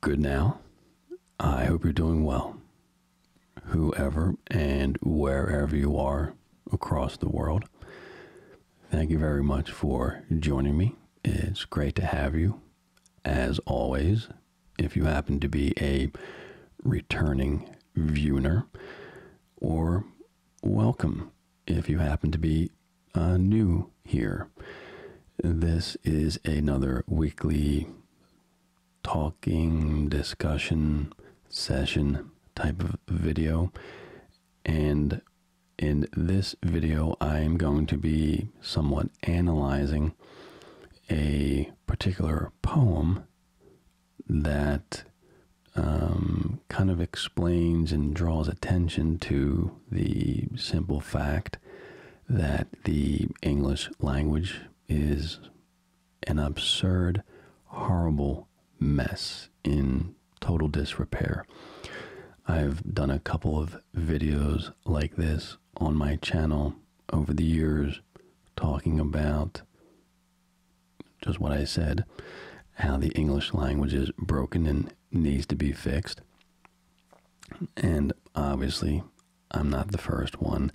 Good now. I hope you're doing well. Whoever and wherever you are across the world, thank you very much for joining me. It's great to have you. As always, if you happen to be a returning viewer, or welcome if you happen to be uh, new here. This is another weekly talking, discussion, session type of video. And in this video, I'm going to be somewhat analyzing a particular poem that um, kind of explains and draws attention to the simple fact that the English language is an absurd, horrible mess in total disrepair. I've done a couple of videos like this on my channel over the years talking about just what I said, how the English language is broken and needs to be fixed. And obviously, I'm not the first one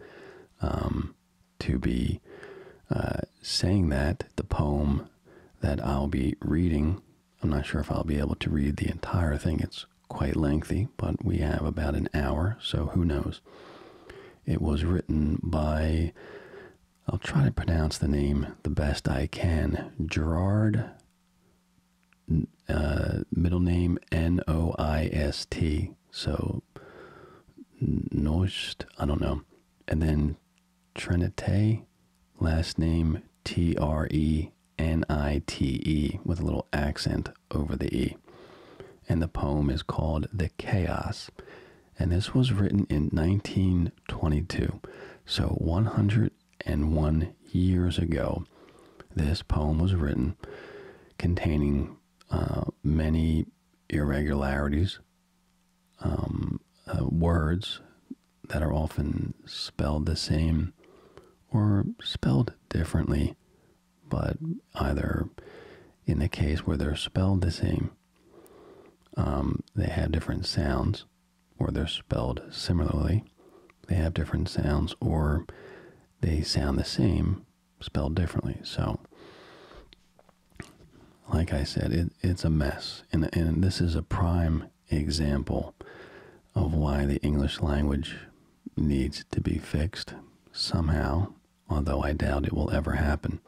um, to be uh, saying that. The poem that I'll be reading, I'm not sure if I'll be able to read the entire thing. It's quite lengthy, but we have about an hour, so who knows. It was written by, I'll try to pronounce the name the best I can, Gerard uh, middle name N O I S T. So Noist, I don't know. And then Trinite, last name T R E N I T E with a little accent over the E. And the poem is called The Chaos. And this was written in 1922. So 100 and one years ago, this poem was written containing uh, many irregularities, um, uh, words that are often spelled the same or spelled differently, but either in the case where they're spelled the same, um, they have different sounds or they're spelled similarly, they have different sounds, or they sound the same, spelled differently. So, like I said, it's a mess. and this is a prime example of why the English language needs to be fixed somehow, although I doubt it will ever happen.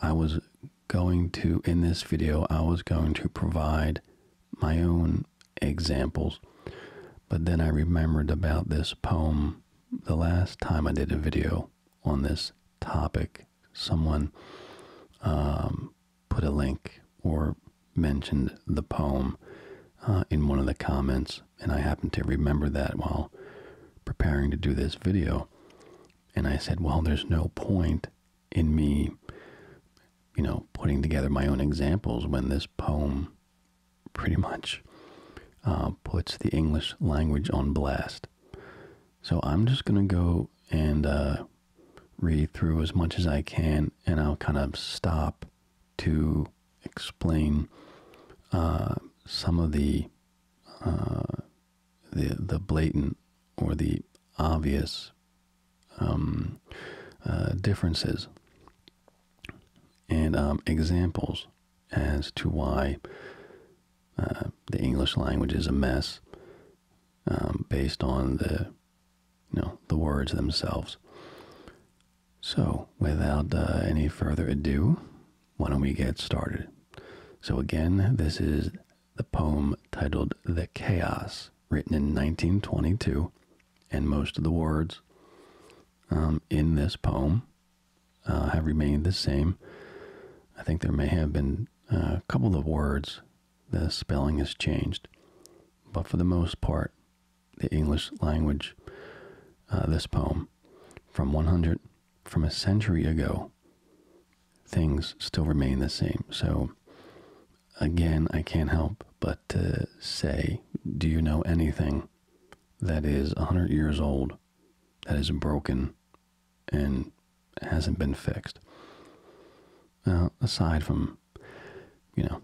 I was going to, in this video, I was going to provide my own examples. But then I remembered about this poem the last time I did a video on this topic. Someone um, put a link or mentioned the poem uh, in one of the comments, and I happened to remember that while preparing to do this video. And I said, well, there's no point in me you know, putting together my own examples when this poem pretty much uh, puts the English language on blast. So I'm just going to go and uh, read through as much as I can, and I'll kind of stop to explain uh, some of the, the the blatant or the obvious um, uh, differences and um, examples as to why uh, the English language is a mess um, based on the you know the words themselves. So, without uh, any further ado, why don't we get started? So, again, this is the poem titled The Chaos written in 1922, and most of the words um, in this poem uh, have remained the same. I think there may have been uh, a couple of words the spelling has changed, but for the most part, the English language, uh, this poem from 100, from a century ago, things still remain the same. So again, I can't help but to say, do you know anything that is 100 years old, that is broken, and hasn't been fixed? aside from, you know,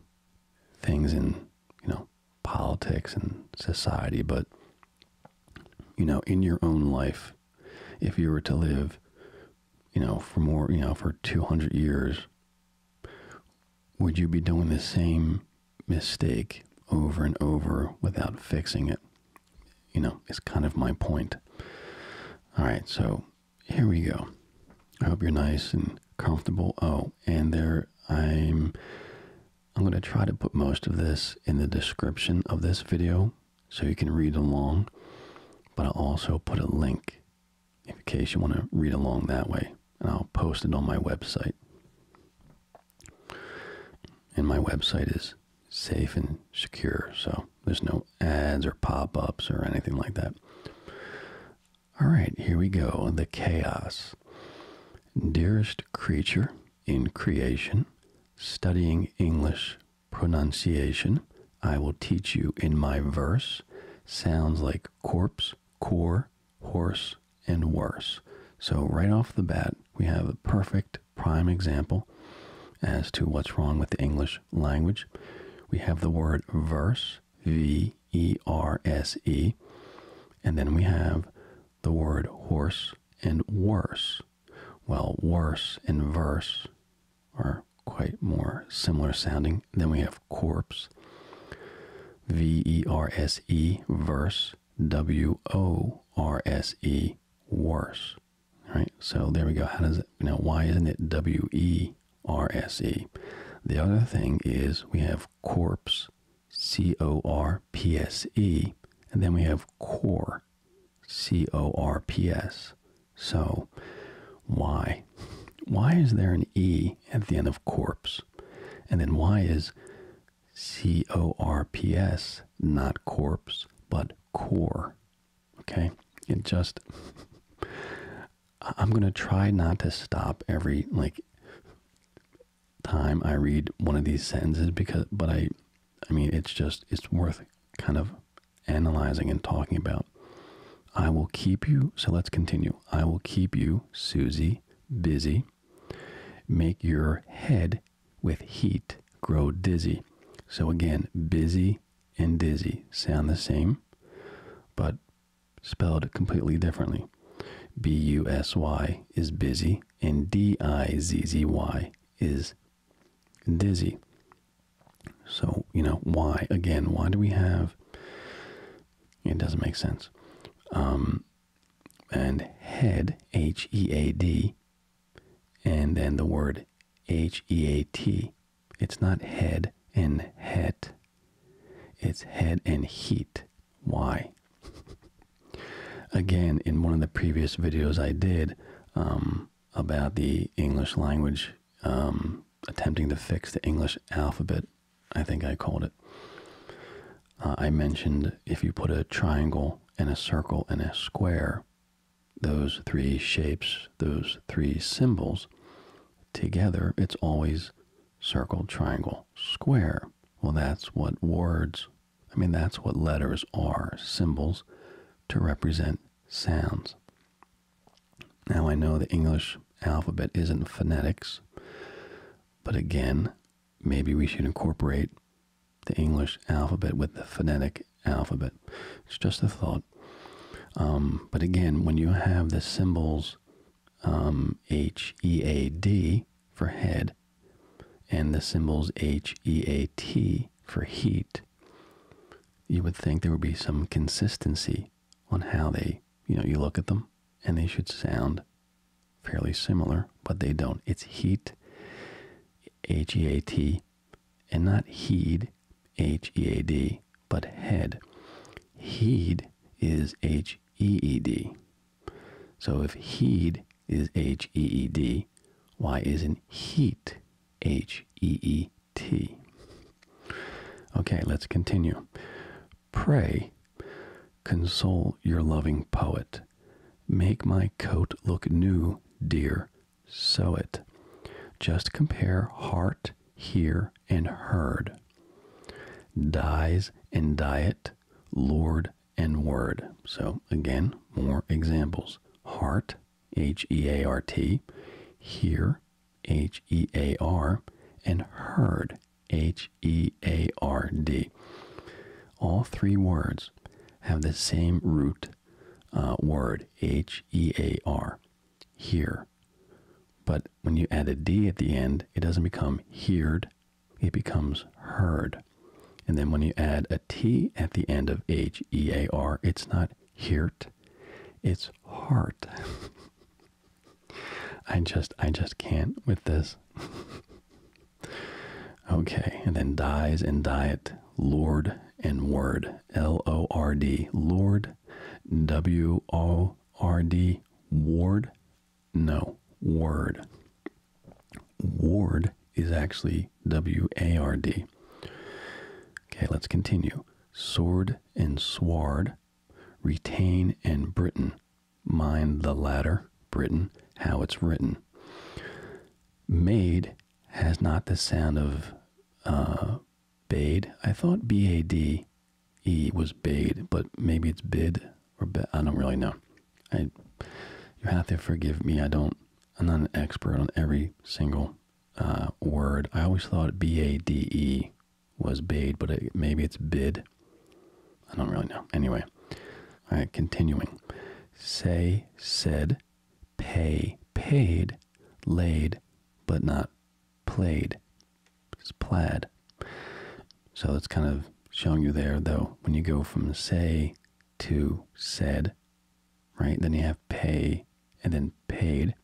things in, you know, politics and society, but, you know, in your own life, if you were to live, you know, for more, you know, for 200 years, would you be doing the same mistake over and over without fixing it? You know, it's kind of my point. All right, so here we go. I hope you're nice and comfortable. Oh, and there I'm I'm going to try to put most of this in the description of this video so you can read along, but I'll also put a link in case you want to read along that way. And I'll post it on my website. And my website is safe and secure, so there's no ads or pop ups or anything like that. All right, here we go. The chaos. Dearest creature in creation, studying English pronunciation, I will teach you in my verse. Sounds like corpse, core, horse, and worse. So, right off the bat, we have a perfect prime example as to what's wrong with the English language. We have the word verse, V E R S E, and then we have the word horse and worse. Well, worse and verse are quite more similar sounding. than we have corpse. V E R S E verse W O R S E worse. Right? So there we go. How does it know why isn't it W E R S E? The other thing is we have corpse C O R P S E and then we have core C O R P S. So why why. is there an E at the end of corpse? And then why is C O R P S not corpse, but core? Okay? It just. I'm going to try not to stop every, like, time I read one of these sentences because, but I, I mean, it's just, it's worth kind of analyzing and talking about. I will keep you, so let's continue. I will keep you, Susie, busy. Make your head with heat grow dizzy. So again, busy and dizzy sound the same, but spelled completely differently. B U S Y is busy, and D I Z Z Y is dizzy. So, you know, why? Again, why do we have it doesn't make sense. Um, and head, H E A D, and then the word H E A T. It's not head and het. It's head and heat. Why? Again, in one of the previous videos I did um, about the English language um, attempting to fix the English alphabet, I think I called it. Uh, I mentioned if you put a triangle and a circle and a square, those three shapes, those three symbols, together, it's always circle, triangle, square. Well, that's what words, I mean, that's what letters are symbols to represent sounds. Now I know the English alphabet isn't phonetics, but again, maybe we should incorporate the English alphabet with the phonetic alphabet. It's just a thought. Um, but again, when you have the symbols um, H E A D for head and the symbols H E A T for heat, you would think there would be some consistency on how they, you know, you look at them and they should sound fairly similar, but they don't. It's heat, H E A T, and not heed, H E A D, but head. Heed is H E E D. So if heed is H E E D, why isn't heat H E E T? Okay, let's continue. Pray, console your loving poet. Make my coat look new, dear, sew it. Just compare heart, hear, and heard. Dyes and diet, Lord and word. So again, more examples. Heart, H E A R T, hear, H E A R, and heard. H E A R D. All three words have the same root uh, word, H E A R, here. But when you add a D at the end, it doesn't become heard, it becomes heard. And then when you add a T at the end of H E A R, it's not heart, it's heart. I just I just can't with this. okay, and then dies and diet, Lord and word, L O R D, Lord, W O R D, ward, no word. Ward is actually W A R D. Okay, let's continue. Sword and sward, Retain and Britain. Mind the latter, Britain, how it's written. Made has not the sound of uh, bade. I thought B A D E was bade, but maybe it's bid or be I don't really know. I you have to forgive me. I don't. I'm not an expert on every single uh, word. I always thought B A D E was bade, but maybe it's bid. I don't really know. Anyway, all right, continuing. Say, said, pay, paid, laid, but not played. It's plaid. So it's kind of showing you there, though, when you go from say to said, right? Then you have pay and then paid.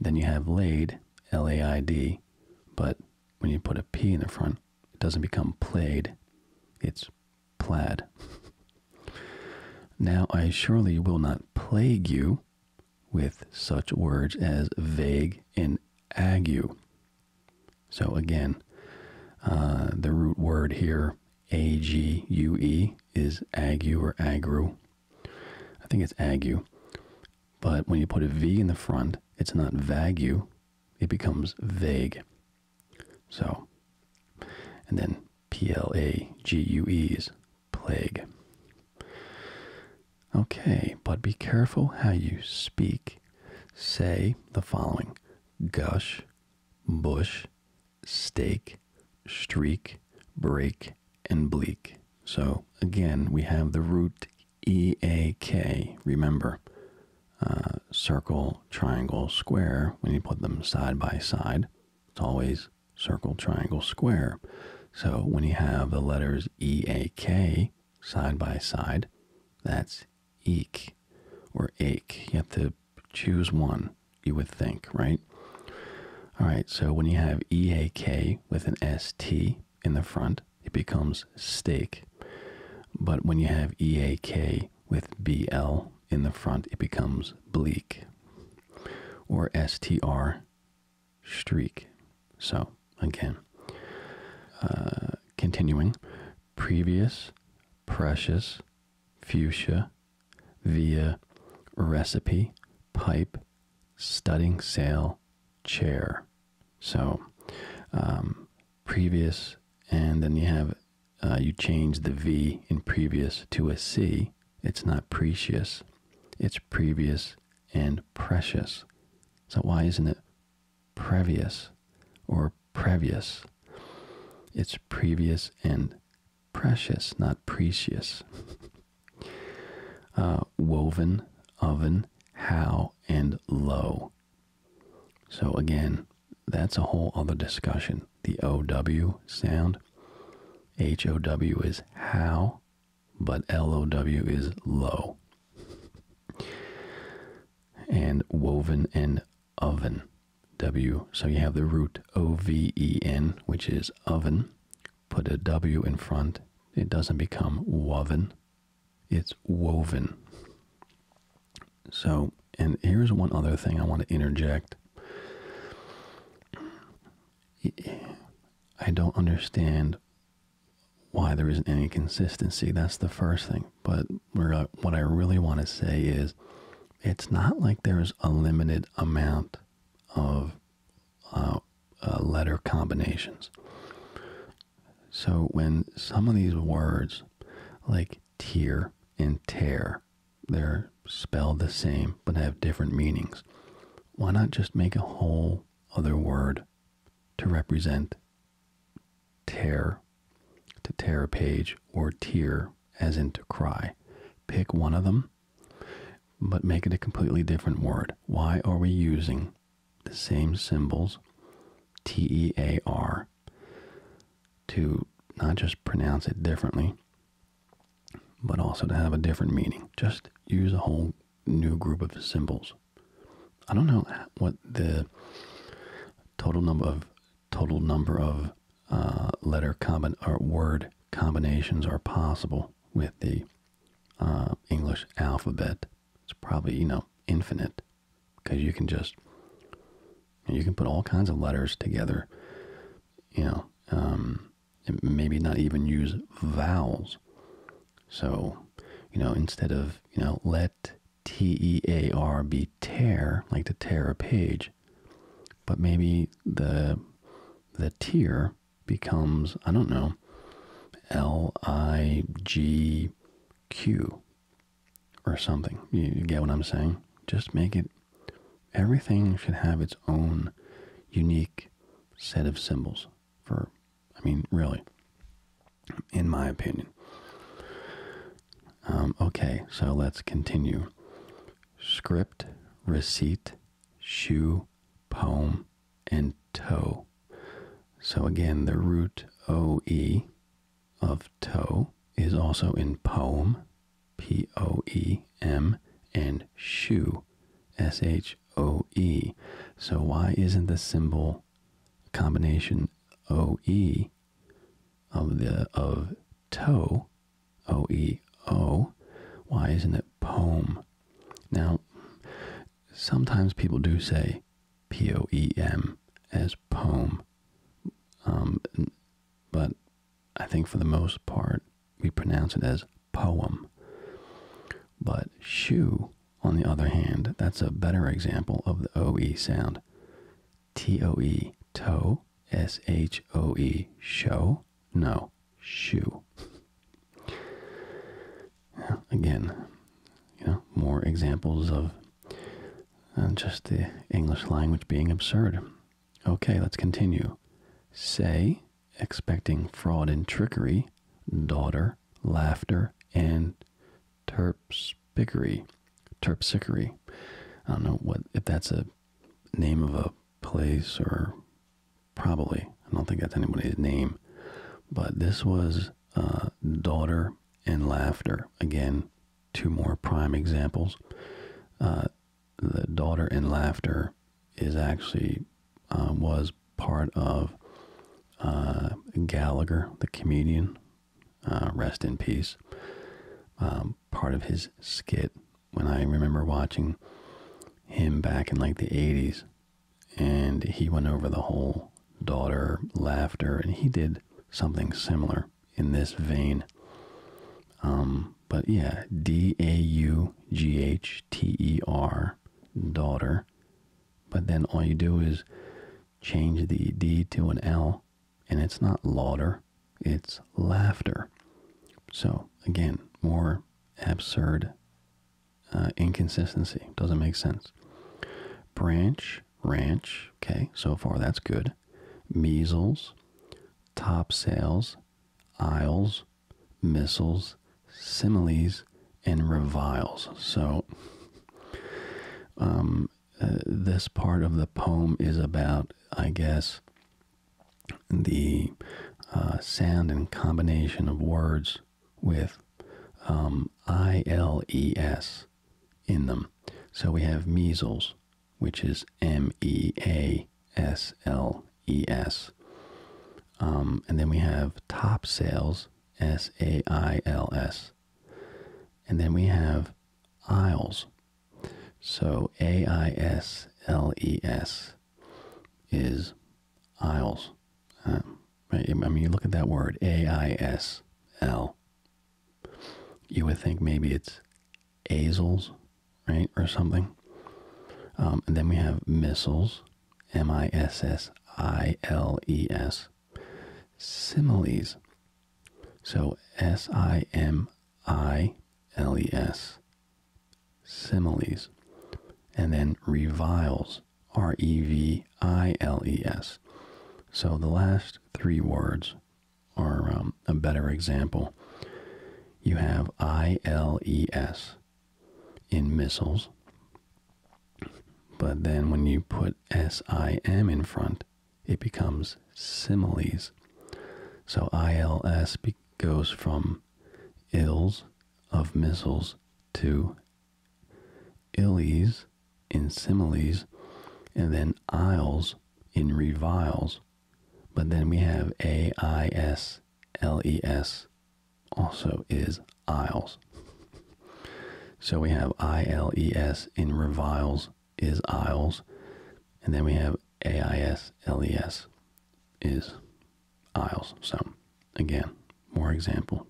Then you have laid, L A I D, but when you put a P in the front, it doesn't become played, it's plaid. now I surely will not plague you with such words as vague and ague. So again, uh, the root word here, A G U E, is ague or agru. I think it's ague. But when you put a V in the front, it's not vague, it becomes vague. So, and then P L A G U E S, plague. Okay, but be careful how you speak. Say the following gush, bush, stake, streak, break, and bleak. So again, we have the root E A K. Remember, uh, circle, triangle, square, when you put them side by side, it's always circle, triangle, square. So when you have the letters E A K side by side, that's eek or ache. You have to choose one, you would think, right? All right, so when you have E A K with an S T, in the front, it becomes stake, But when you have EAK with BL in the front, it becomes bleak. Or STR, streak. So, again, uh, continuing previous, precious, fuchsia, via, recipe, pipe, studding sail chair. So um, previous, and then you have uh, you change the V in previous to a C. It's not precious, it's previous and precious. So why isn't it previous or previous? It's previous and precious, not precious. Uh, woven, oven, how, and low. So, again, that's a whole other discussion. The OW sound. HOW is how, but LOW is low. And woven and oven. W. So you have the root O V E N, which is oven, put a W in front, it doesn't become woven, it's woven. So, and here's one other thing I want to interject. I don't understand why there isn't any consistency. That's the first thing. But what I really want to say is it's not like there's a limited amount of uh, uh, letter combinations. So when some of these words, like tear and tear, they're spelled the same but have different meanings, why not just make a whole other word to represent tear, to tear a page, or tear as in to cry? Pick one of them, but make it a completely different word. Why are we using the same symbols, T E A R, to not just pronounce it differently, but also to have a different meaning. Just use a whole new group of symbols. I don't know what the total number of total number of uh, letter combin or word combinations are possible with the uh, English alphabet. It's probably, you know, infinite because you can just, you can put all kinds of letters together, you know, um, and maybe not even use vowels. So, you know, instead of, you know, let T E A R be tear, like to tear a page, but maybe the, the tear becomes, I don't know, L I G Q or something. You, get what I'm saying? Just make it, everything should have its own unique set of symbols for, I mean, really, in my opinion. Um, okay, so let's continue. Script, receipt, shoe, poem, and toe. So again, the root OE of toe is also in poem, P O E M, and shoe, S H O E. So why isn't the symbol combination O E of the of toe, O E O? Why isn't it poem? Now, sometimes people do say P O E M as poem. Um, but I think for the most part, we pronounce it as poem. But shoe, on the other hand, that's a better example of the OE sound. T O E, toe, S H O E, show, no, shoe again, you know, more examples of uh, just the English language being absurd. Okay, let's continue. Say, expecting fraud and trickery, daughter, laughter, and terpsichore. Terpsichore. I don't know what if that's a name of a place or probably. I don't think that's anybody's name. But this was uh, Daughter and Laughter. Again, two more prime examples. Uh, the Daughter and Laughter is actually uh, was part of Gallagher, the comedian. rest in peace. Um, part of his skit when I remember watching him back in like the 80s and he went over the whole daughter laughter, and he did something similar in this vein. Um, but yeah, D A U G H T E R, daughter. But then all you do is change the D to an L, and it's not lauder, it's laughter. So again, more absurd uh, inconsistency. Doesn't make sense. Branch, ranch. Okay, so far that's good. Measles, top sales, aisles, missiles, similes, and reviles. So, um, uh, this part of the poem is about, I guess, the uh, sound and combination of words with um, I-L-E-S in them. So we have measles, which is M-E-A-S-L-E-S. Um, and then we have top sales, S-A-I-L-S. And then we have aisles. So A-I-S-L-E-S is aisles. Uh, I mean, you look at that word, A I S L. You would think maybe it's azels, right, or something. Um, and then we have missiles, M I S S I L E S. Similes. So S I M I L E S. Similes. And then reviles, Reviles. So the last three words are um, a better example. You have I L E S in missiles, but then when you put S I M in front, it becomes similes. So I L S goes from ills of missiles to illies in similes, and then isles in reviles. But then we have A I S L E S also is isles. so we have I L E S in reviles is isles, and then we have A I S L E S is aisles. So, again, more example.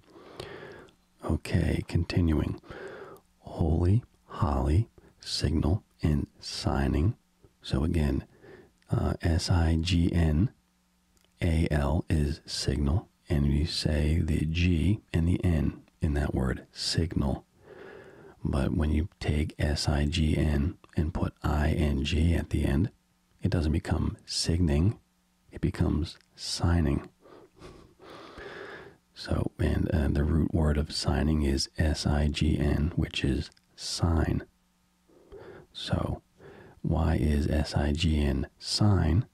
Okay, continuing. Holy, holy, signal, and signing. So, again, uh, S I G N A L is signal, and you say the G and the N in that word, signal. But when you take S I G N and put I N G at the end, it doesn't become signing, it becomes signing. so, and uh, the root word of signing is S I G N, which is sign. So, why is S I G N sign?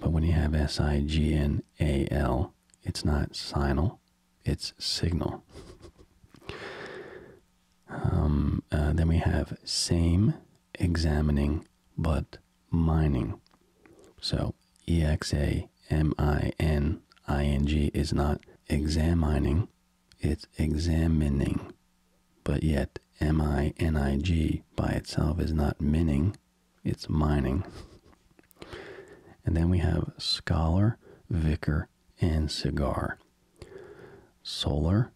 But when you have S I G N A L, it's not signal, it's signal. Um, uh, then we have same, examining but mining. So E X A M I N I N G is not examining, it's examining. But yet M I N I G by itself is not mining, it's mining. And then we have scholar, vicar, and cigar. Solar,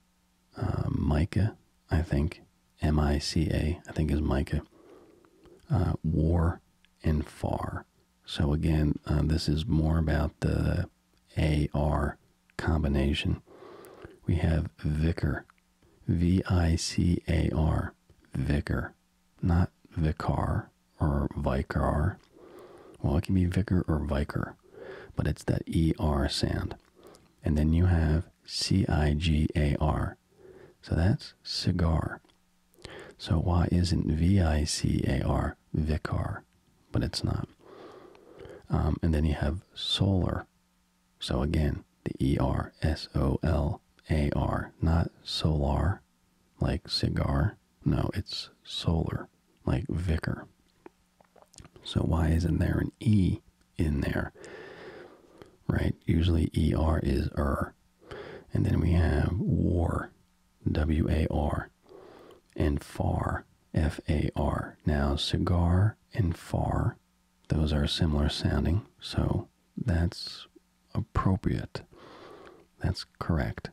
uh, Micah, I think, M I C A, I think is Micah, uh, War and Far. So again, uh, this is more about the AR combination. We have Vicar, V I C A R, Vicar, not Vicar or Vicar. Well, it can be Vicar or Vicar, but it's that ER sound and then you have C I G A R. So that's cigar. So why isn't V I C A R vicar? But it's not. Um, and then you have solar. So again, the E R S O L A R, not solar like cigar. No, it's solar like vicar. So why isn't there an E in there? Right? Usually ER is er. And then we have war, W A R, and far, F A R. Now, cigar and far, those are similar sounding, so that's appropriate. That's correct.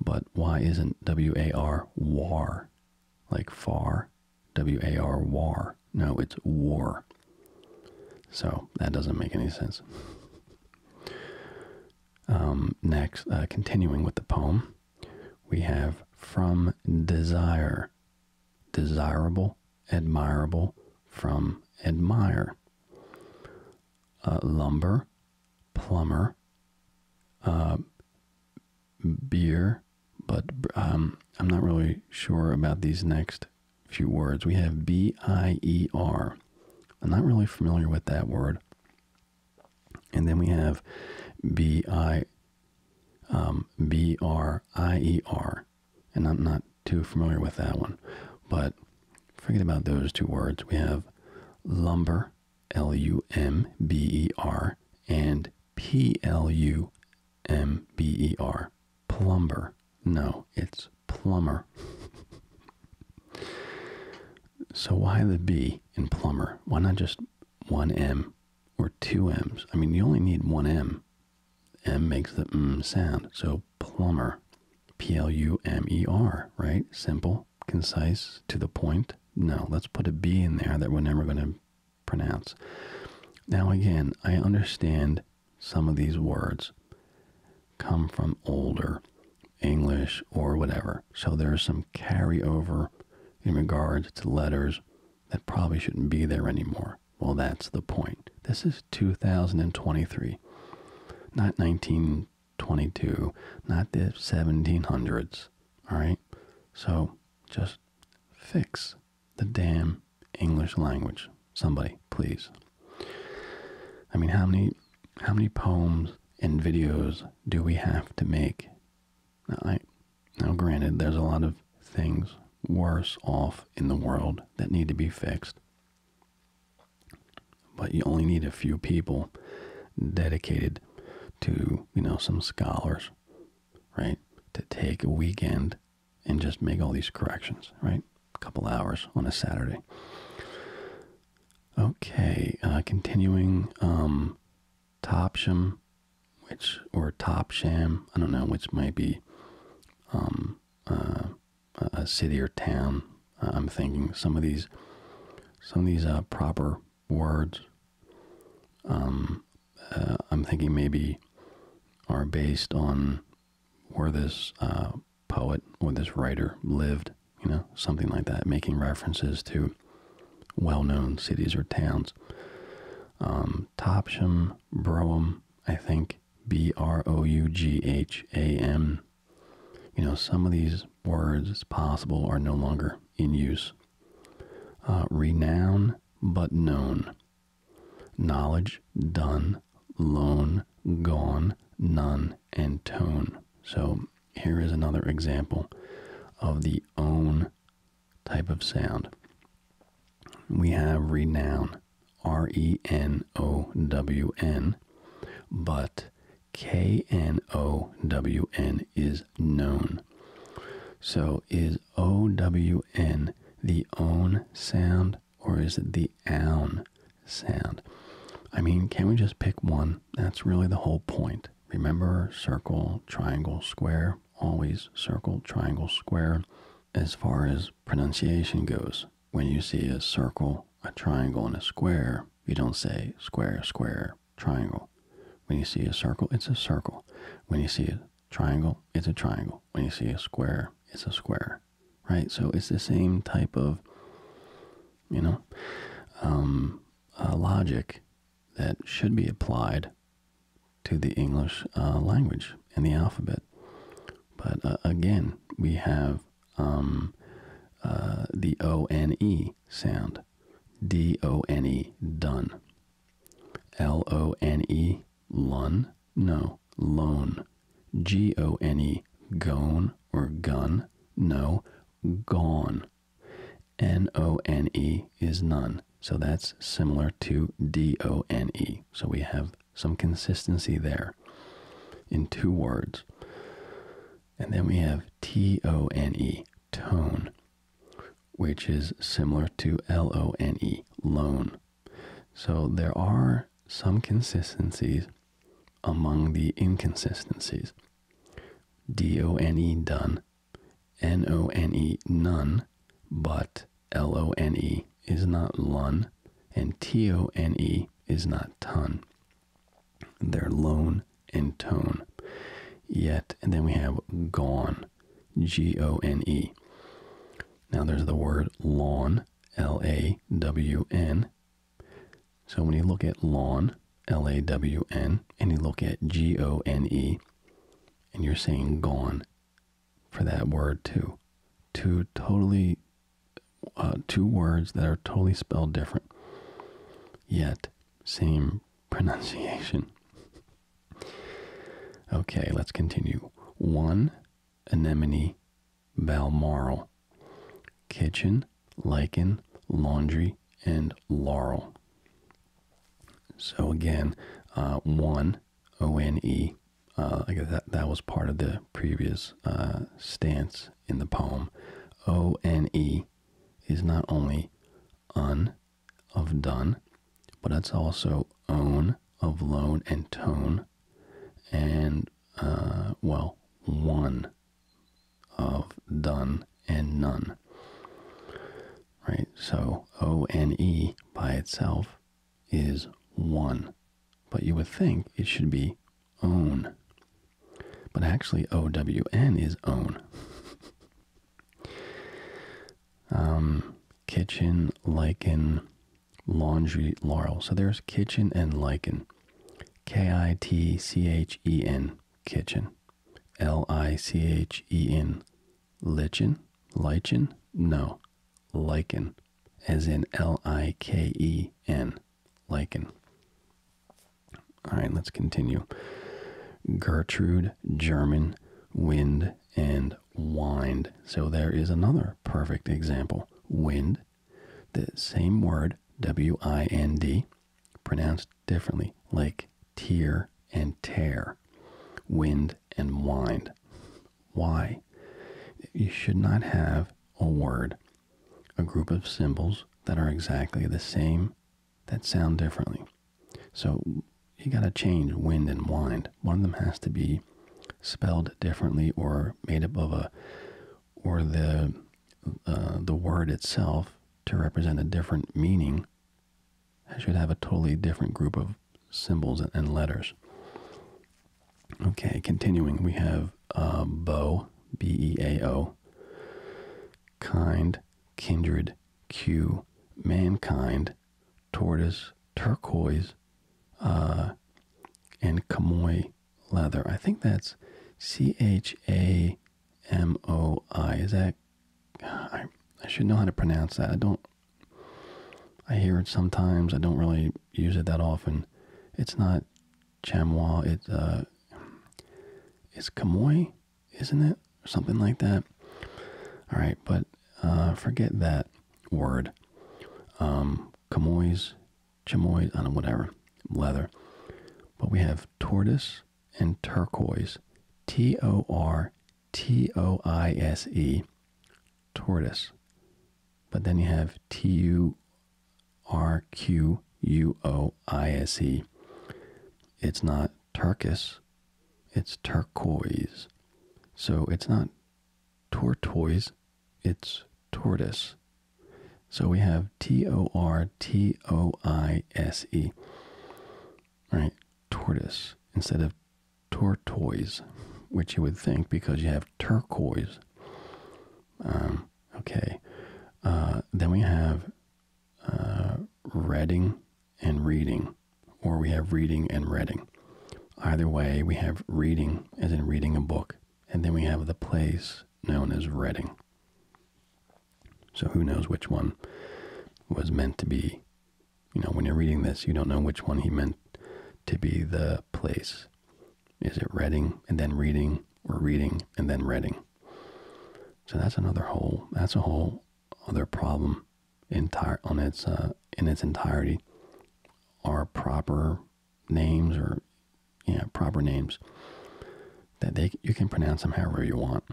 But why isn't W A R war? Like far W A R war. No, it's war. So that doesn't make any sense. Um, next, uh, continuing with the poem, we have From Desire. Desirable, admirable, from admire. lumber, plumber, uh, beer, but um, I'm not really sure about these next few words. We have B I E R. I'm not really familiar with that word. And then we have B I um, And I'm not too familiar with that one. But forget about those two words. We have lumber, L U M B E R, and P L U M B E R. Plumber. No, it's plumber. so why the B in plumber? Why not just one M or two M's? I mean, you only need one M. M makes the mm sound. So plumber. P L U M E R, right? Simple, concise, to the point. No, let's put a B in there that we're never going to pronounce. Now, again, I understand some of these words come from older English or whatever, so there's some carryover in regards to letters that probably shouldn't be there anymore. Well, that's the point. This is 2023, not 1922, not the 1700s. All right? So just fix the damn English language. Somebody, please. I mean, how many how many poems and videos do we have to make? I, now granted, there's a lot of things worse off in the world that need to be fixed. But you only need a few people dedicated to, you know, some scholars right? To take a weekend and just make all these corrections, right? A couple hours on a Saturday. Okay, uh, continuing, um, Topsham, which, or Topsham, I don't know, which might be, um, uh, a city or town. Uh, I'm thinking some of these, some of these, proper words, um, uh, I'm thinking maybe are based on where this uh, poet or this writer lived, you know, something like that, making references to well known cities or towns. Um, Topsham, Brougham, I think, B R O U G H A M. You know, some of these words, it's possible, are no longer in use. Uh, renown but known. Knowledge, done, lone gone, none, and tone. So here is another example of the own type of sound. We have renown, R E N O W N, but K N O W N is known. So is OWN the own sound or is it the own sound? I mean, can we just pick one? That's really the whole point. Remember circle, triangle, square, always circle, triangle, square as far as pronunciation goes. When you see a circle, a triangle, and a square, you don't say square, square, triangle. When you see a circle, it's a circle. When you see a triangle, it's a triangle. When you see a square, it's a square, right? So it's the same type of, you know, um, uh, logic that should be applied to the English uh, language and the alphabet. But uh, again, we have um, the O N E sound, D O N E, done. L O N E, Lun? No. Loan. G O N E. Gone or gun? No. Gone. N O N E is none. So that's similar to D O N E. So we have some consistency there in two words. And then we have T O N E, tone which is similar to L-O-N-E, loan. So there are some consistencies among the inconsistencies. D-O-N-E, done. N-O-N-E, none, but L-O-N-E is not lun, and T-O-N-E is not ton. They're loan and tone. Yet, and then we have gone. Gone, Now there's the word lawn, L A W N. So when you look at lawn, L A W N, and you look at G O N E, and you're saying gone for that word too. Two totally, uh, two words that are totally spelled different, yet same pronunciation. Okay, let's continue. One anemone balmoral. Kitchen, lichen, laundry, and laurel. So again, uh, one O N E. Uh, I guess that that was part of the previous uh, stance in the poem. O N E is not only un of done, but that's also own of loan and tone, and uh, well, one of done and none. Right? So O N E by itself is one, but you would think it should be own. But actually, O W N is own. Um, kitchen, lichen, laundry, laurel. So there's kitchen and lichen. K I T C H E N, kitchen. L I C H E N, lichen. Lichen? No. Lichen. As in L I K E N, lichen. All right, let's continue. Gertrude, German, wind, wind and wind. So there is another perfect example. Wind, the same word, W I N D, pronounced differently, like tear and tear. Wind and wind. Why? You should not have a word, a group of symbols that are exactly the same, that sound differently. So you got to change wind and wind. One of them has to be spelled differently or made up of a or the uh, the word itself to represent a different meaning I should have a totally different group of symbols and letters. Okay, continuing, we have uh, bow, B-E-A-O, kind, kindred, Q, mankind, tortoise, turquoise, uh, and chamois leather. I think that's C H A M O I. Is that? I, I should know how to pronounce that. I don't. I hear it sometimes. I don't really use it that often. It's not chamois. It's uh, it's chamois, isn't it? something like that. All right, but uh, forget that word. Um, chamois, chamois, I don't know, whatever, leather. But we have tortoise and turquoise. T O R T O I S E, tortoise. But then you have T U R Q U O I S E. It's not turquoise, it's turquoise. So it's not tortoise, it's tortoise. So we have T O R T O I S E. Right, tortoise instead of tortoise, which you would think because you have turquoise. Um, okay. Uh, then we have uh, Reading, and reading, or we have reading and reading. Either way, we have reading, as in reading a book, and then we have the place known as Reading. So who knows which one was meant to be? You know, when you're reading this, you don't know which one he meant to be the place. Is it Reading and then reading, or reading and then Reading? So that's another whole. That's a whole other problem entire on its uh, in its entirety are proper names or yeah proper names that they you can pronounce them however you want.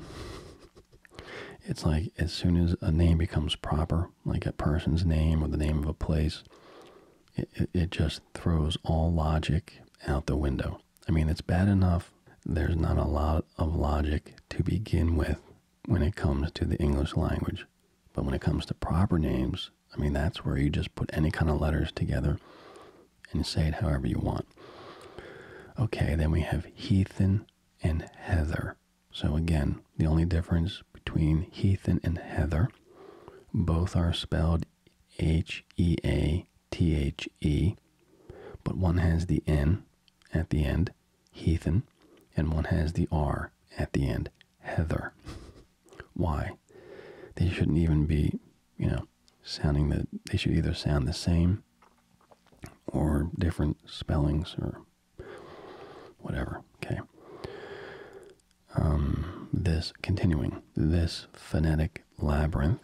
it's like as soon as a name becomes proper, like a person's name or the name of a place, it, it just throws all logic out the window. I mean, it's bad enough. There's not a lot of logic to begin with when it comes to the English language. But when it comes to proper names, I mean, that's where you just put any kind of letters together and say it however you want. Okay, then we have heathen and heather. So again, the only difference between heathen and heather, both are spelled H E A T H E, but one has the N at the end, heathen, and one has the R at the end, heather. Why? They shouldn't even be, you know, sounding that they should either sound the same or different spellings or whatever. Okay. Um, this continuing this phonetic labyrinth,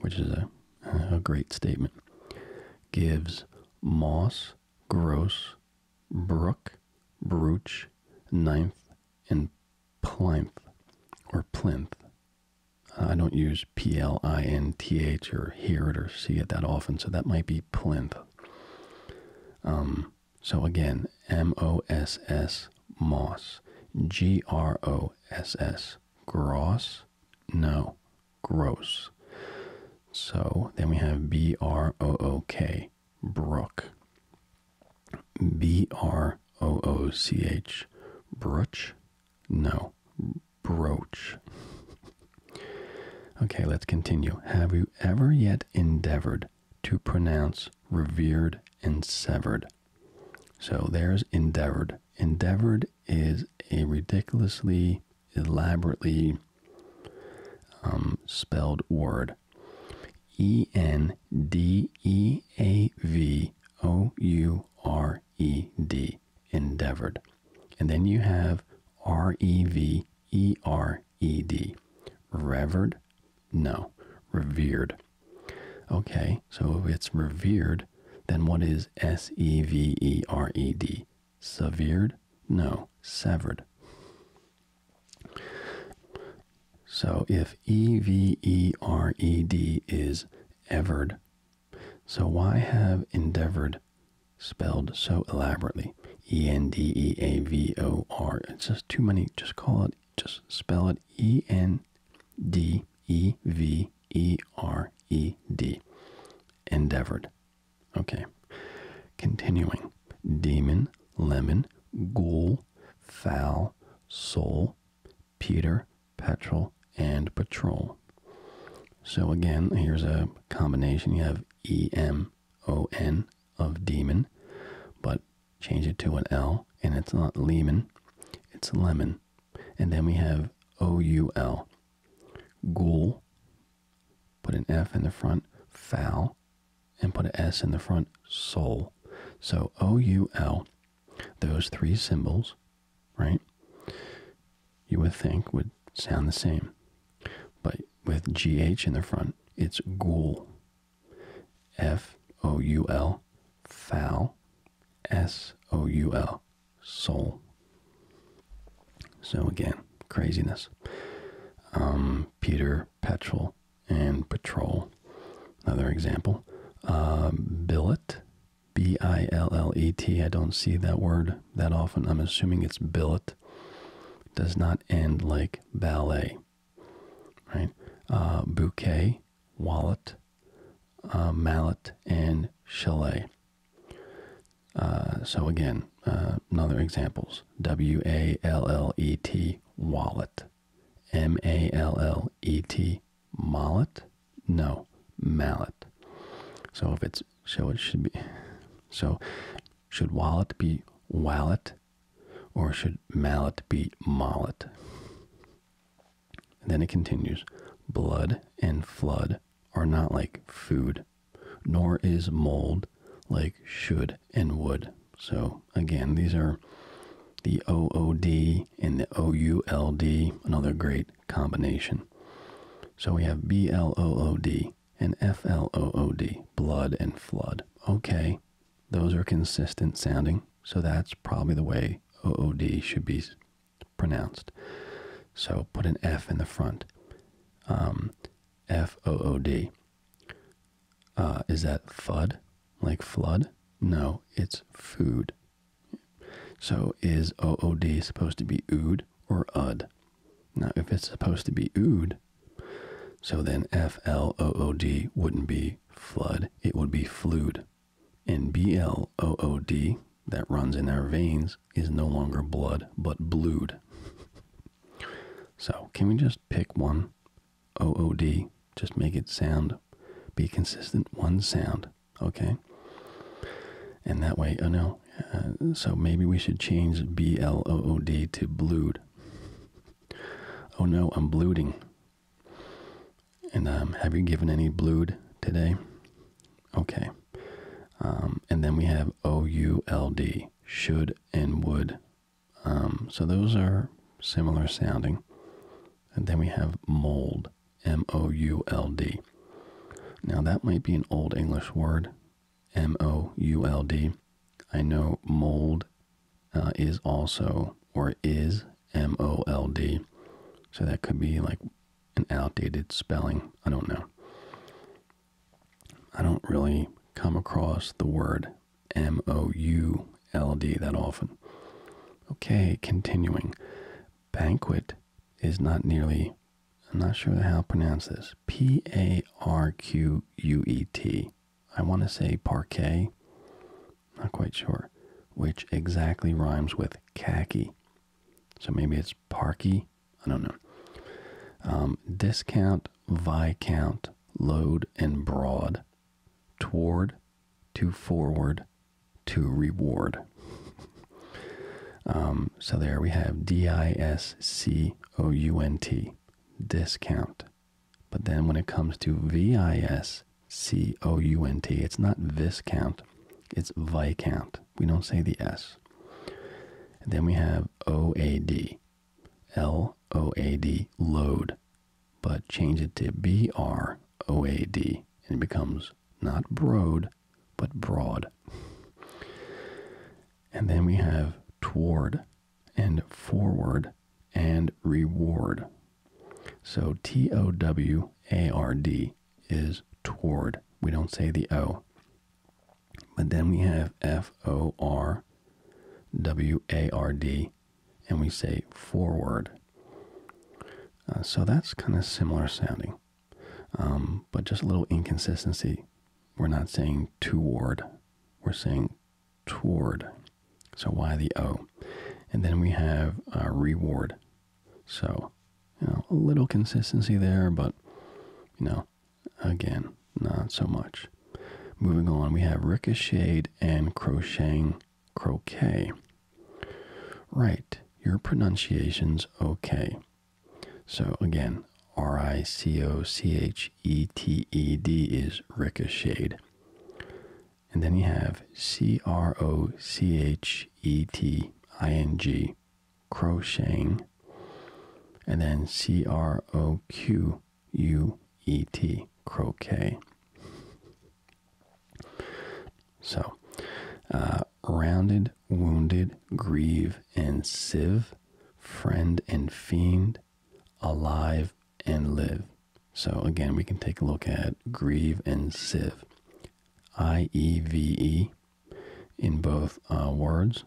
which is a a great statement, gives moss, gross, brook, brooch, ninth, and plinth or plinth. I don't use P L I N T H or hear it or see it that often, so that might be plinth. Um, so again, M O S S moss, G R O S S gross. No, gross. So then we have B R O O K, Brook. B R O O C H, Brooch? No, Broach. okay, let's continue. Have you ever yet endeavored to pronounce revered and severed? So there's endeavored. Endeavored is a ridiculously elaborately um, spelled word. E N D E A V O U R E D. Endeavored. And then you have R E V E R E D. Revered? No. Revered. Okay, so if it's revered, then what is S E V E R E D? severed? No, severed. So if E V E R E D is evered, so why have endeavored spelled so elaborately? E N D E A V O R. It's just too many. Just call it, just spell it E N D E V E R E D. Endeavored. Okay. Continuing. Demon, lemon, ghoul, foul, soul, Peter, petrol, and patrol. So again, here's a combination. You have E M O N of demon, but change it to an L, and it's not lemon, it's lemon. And then we have O U L, ghoul, Put an F in the front, foul, and put an S in the front, soul. So O U L, those three symbols, right? You would think would sound the same. But with GH in the front, it's ghoul. F O U L, foul. S O U L, soul. So again, craziness. Um, Peter Petrol and Patrol, another example. Um, billet, B I L L E T. I don't see that word that often. I'm assuming it's billet. Does not end like ballet, right? Uh, bouquet, wallet, uh, mallet, and chalet. Uh, so again, uh, another examples: W A L L E T wallet, M A L L E T mallet. No, mallet. So if it's so, it should be. So should wallet be wallet, or should mallet be mallet? then it continues: blood and flood are not like food, nor is mold like should and would. So, again, these are the OOD and the OULD, another great combination. So we have BLOOD and FLOOD, blood and flood. Okay, those are consistent sounding, so that's probably the way OOD should be pronounced. So put an F in the front. Um, F O O D. Uh, is that FUD? Like flood? No, it's food. So is O O D supposed to be ood or ud? Now, if it's supposed to be ood, so then F L O O D wouldn't be flood, it would be fluid. And B L O O D that runs in our veins is no longer blood, but blued. So, can we just pick one? OOD. Just make it sound, be consistent, one sound, okay? And that way, oh no. Uh, so maybe we should change B L O O D to blued. Oh no, I'm bluding. And um, have you given any blued today? Okay. Um, and then we have O U L D should and would. Um, so those are similar sounding. And then we have mold, M O U L D. Now that might be an old English word, M O U L D. I know mold uh, is also or is M O L D. So that could be like an outdated spelling. I don't know. I don't really come across the word M O U L D that often. Okay, continuing. Banquet is not nearly, I'm not sure how to pronounce this. P A R Q U E T. I want to say parquet, not quite sure, which exactly rhymes with khaki. So maybe it's Parky. I don't know. Um, discount, Viscount, load, and broad. Toward, to forward, to reward. Um, so there we have D I S C O U N T, discount. But then when it comes to V I S C O U N T, it's not viscount, it's Viscount. We don't say the S. then we have O A D, L O A D, load. But change it to B-R-O-A-D and it becomes not broad, but broad. And then we have toward and forward and reward. So T O W A R D is toward. We don't say the O. But then we have F O R W A R D and we say forward. Uh, so that's kind of similar sounding, um, but just a little inconsistency. We're not saying toward, we're saying toward. So why the O? And then we have uh, reward. So, a little consistency there, but, you know, Again, not so much. Moving on, we have ricocheted and crocheting croquet. Right, your pronunciation's okay. So again, R I C O C H E T E D is ricocheted. And then you have C R O C H E T I N G crocheting and then C R O Q U E T croquet. So, uh, rounded, wounded, grieve, and sieve, friend and fiend, alive and live. So, again, we can take a look at grieve and sieve. I E V E in both uh, words.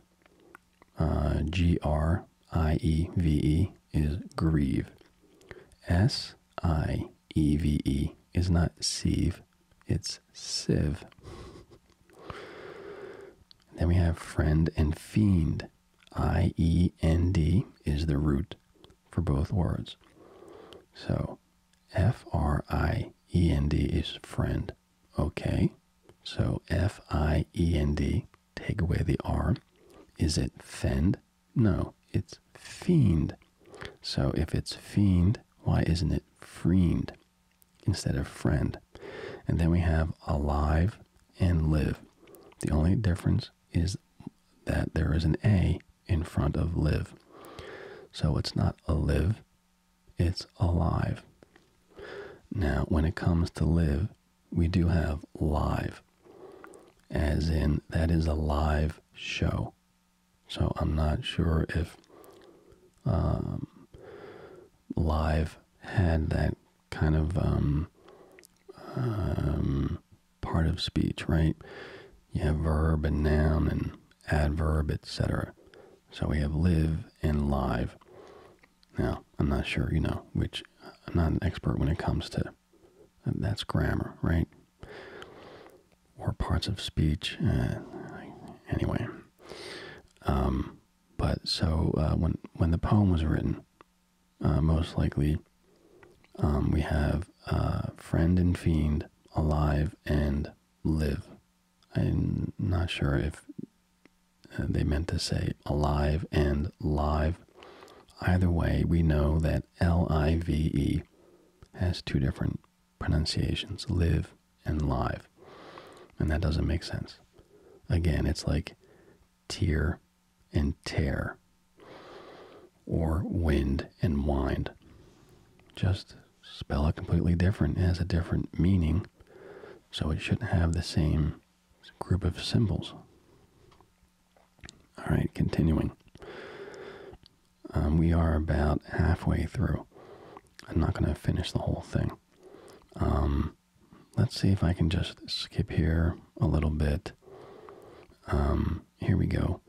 Uh, G R I E V E is grieve. S I E V E is not sieve, it's sieve. then we have friend and fiend. I E N D is the root for both words. So F R I E N D is friend. Okay, so F I E N D, take away the R. Is it fend? No, it's fiend. So if it's fiend, why isn't it friend instead of friend? And then we have alive and live. The only difference is that there is an A in front of live. So it's not a live, it's alive. Now, when it comes to live, we do have live, as in that is a live show. So I'm not sure if um, live had that kind of um, um part of speech, right? You have verb and noun and adverb, etc. So we have live and live. Now, I'm not sure, you know, which I'm not an expert when it comes to that's grammar, right? Or parts of speech. anyway, um, but so uh, when when the poem was written, uh, most likely um, we have uh, friend and fiend, alive and live I'm not sure if uh, they meant to say alive and live. Either way, we know that L I V E has two different pronunciations live and live. And that doesn't make sense. Again, it's like tear and tear or wind and wind. Just spell it completely different. It has a different meaning so it should have the same group of symbols. All right, continuing. Um, we are about halfway through. I'm not going to finish the whole thing. Um, let's see if I can just skip here a little bit. Um, here we go.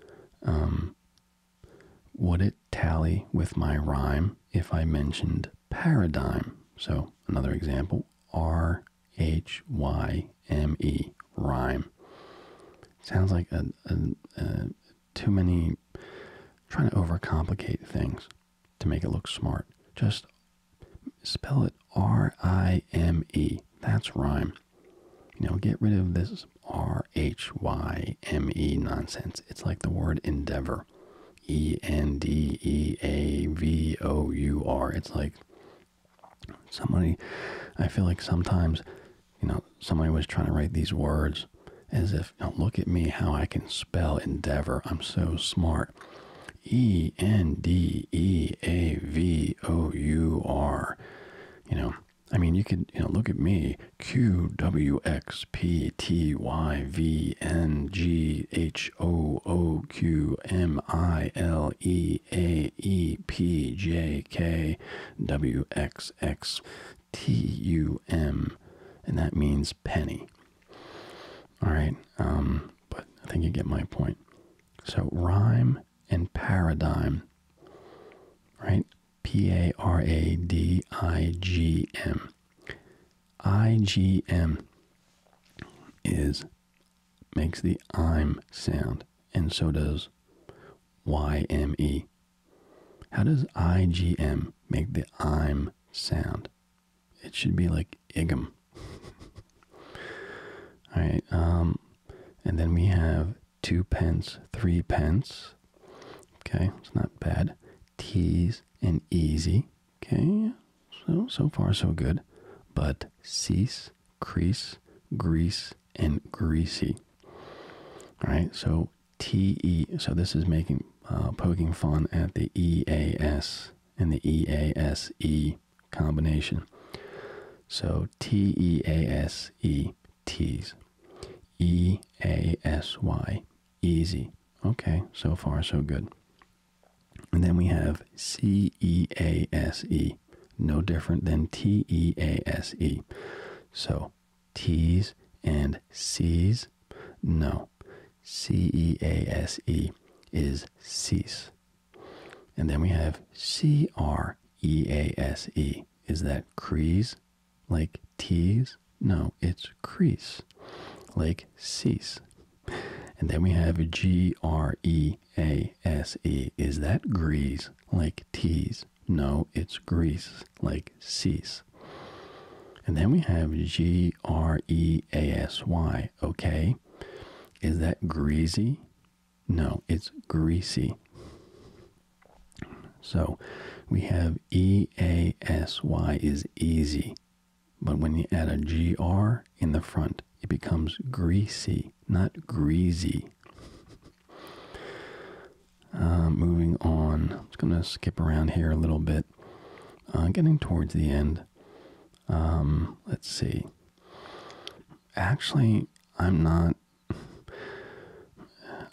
would it tally with my rhyme if I mentioned paradigm. So another example, R H Y M E, rhyme. Sounds like a, too many trying to overcomplicate things to make it look smart. Just spell it R I M E. That's rhyme. You know, get rid of this R H Y M E nonsense. It's like the word endeavor. E N D E A V O U R. It's like somebody, I feel like sometimes, you know, somebody was trying to write these words as if, look at me, how I can spell endeavor. I'm so smart. E N D E A V O U R. You know, I mean, you could, you know, look at me. Q W X P T Y V N G H O O Q M I L E A E P J K W X X T U M, and that means penny. All right, um, but I think you get my point. So rhyme and paradigm, right? P A R A D I G M. IGM is makes the I'm sound, and so does YME. How does IGM make the I'm sound? It should be like IGM. All right, um, and then we have two pence, three pence. Okay, it's not bad. Teas, and easy. Okay, so so far so good. But cease, crease, grease, and greasy. All right, so T E. So this is making uh, poking fun at the E A S and the E A S E combination. So T E A S E T's. E A S Y. Easy. Okay, so far so good. And then we have C E A S E, no different than T E A S E. So T's and C's, no. C E A S E is cease. And then we have C R E A S E. Is that crease? Like T's? No, it's crease. Like cease. And then we have G R E A S E. Is that grease like T's? No, it's grease like C's. And then we have G R E A S Y. Okay. Is that greasy? No, it's greasy. So we have E A S Y is easy. But when you add a GR in the front, it becomes greasy, not greasy. Uh, moving on, I'm just going to skip around here a little bit. I'm uh, getting towards the end. Um, let's see. Actually, I'm not.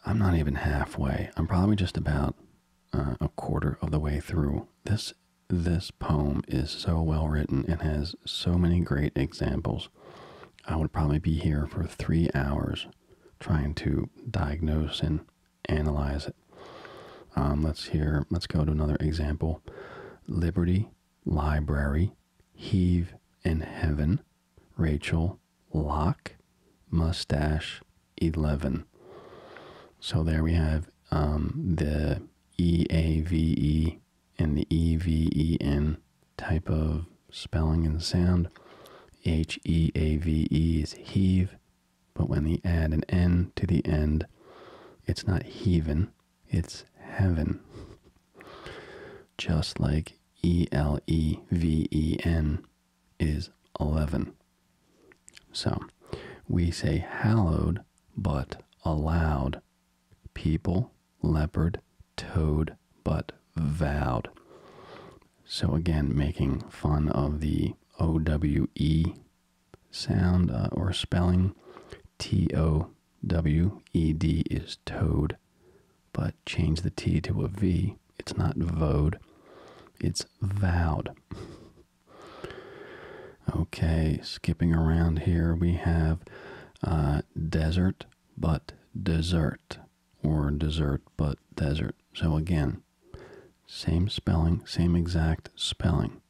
I'm not even halfway. I'm probably just about uh, a quarter of the way through. This this poem is so well written and has so many great examples. I would probably be here for three hours trying to diagnose and analyze it. Um, let's hear, let's go to another example Liberty, Library, Heave, and Heaven, Rachel, lock, Mustache, 11. So there we have um, the e-a-v-e and the E-V-E-N type of spelling and sound. H-E-A-V-E -E is heave, but when we add an N to the end, it's not heaven, it's heaven. Just like E-L-E-V-E-N is 11. So we say hallowed but allowed. People, leopard, toed, but vowed. So again, making fun of the OWE sound uh, or spelling. T O W E D is toed, but change the T to a V. It's not vowed, it's vowed. Okay, skipping around here, we have uh, desert but dessert, or dessert but desert. So again, same spelling, same exact spelling,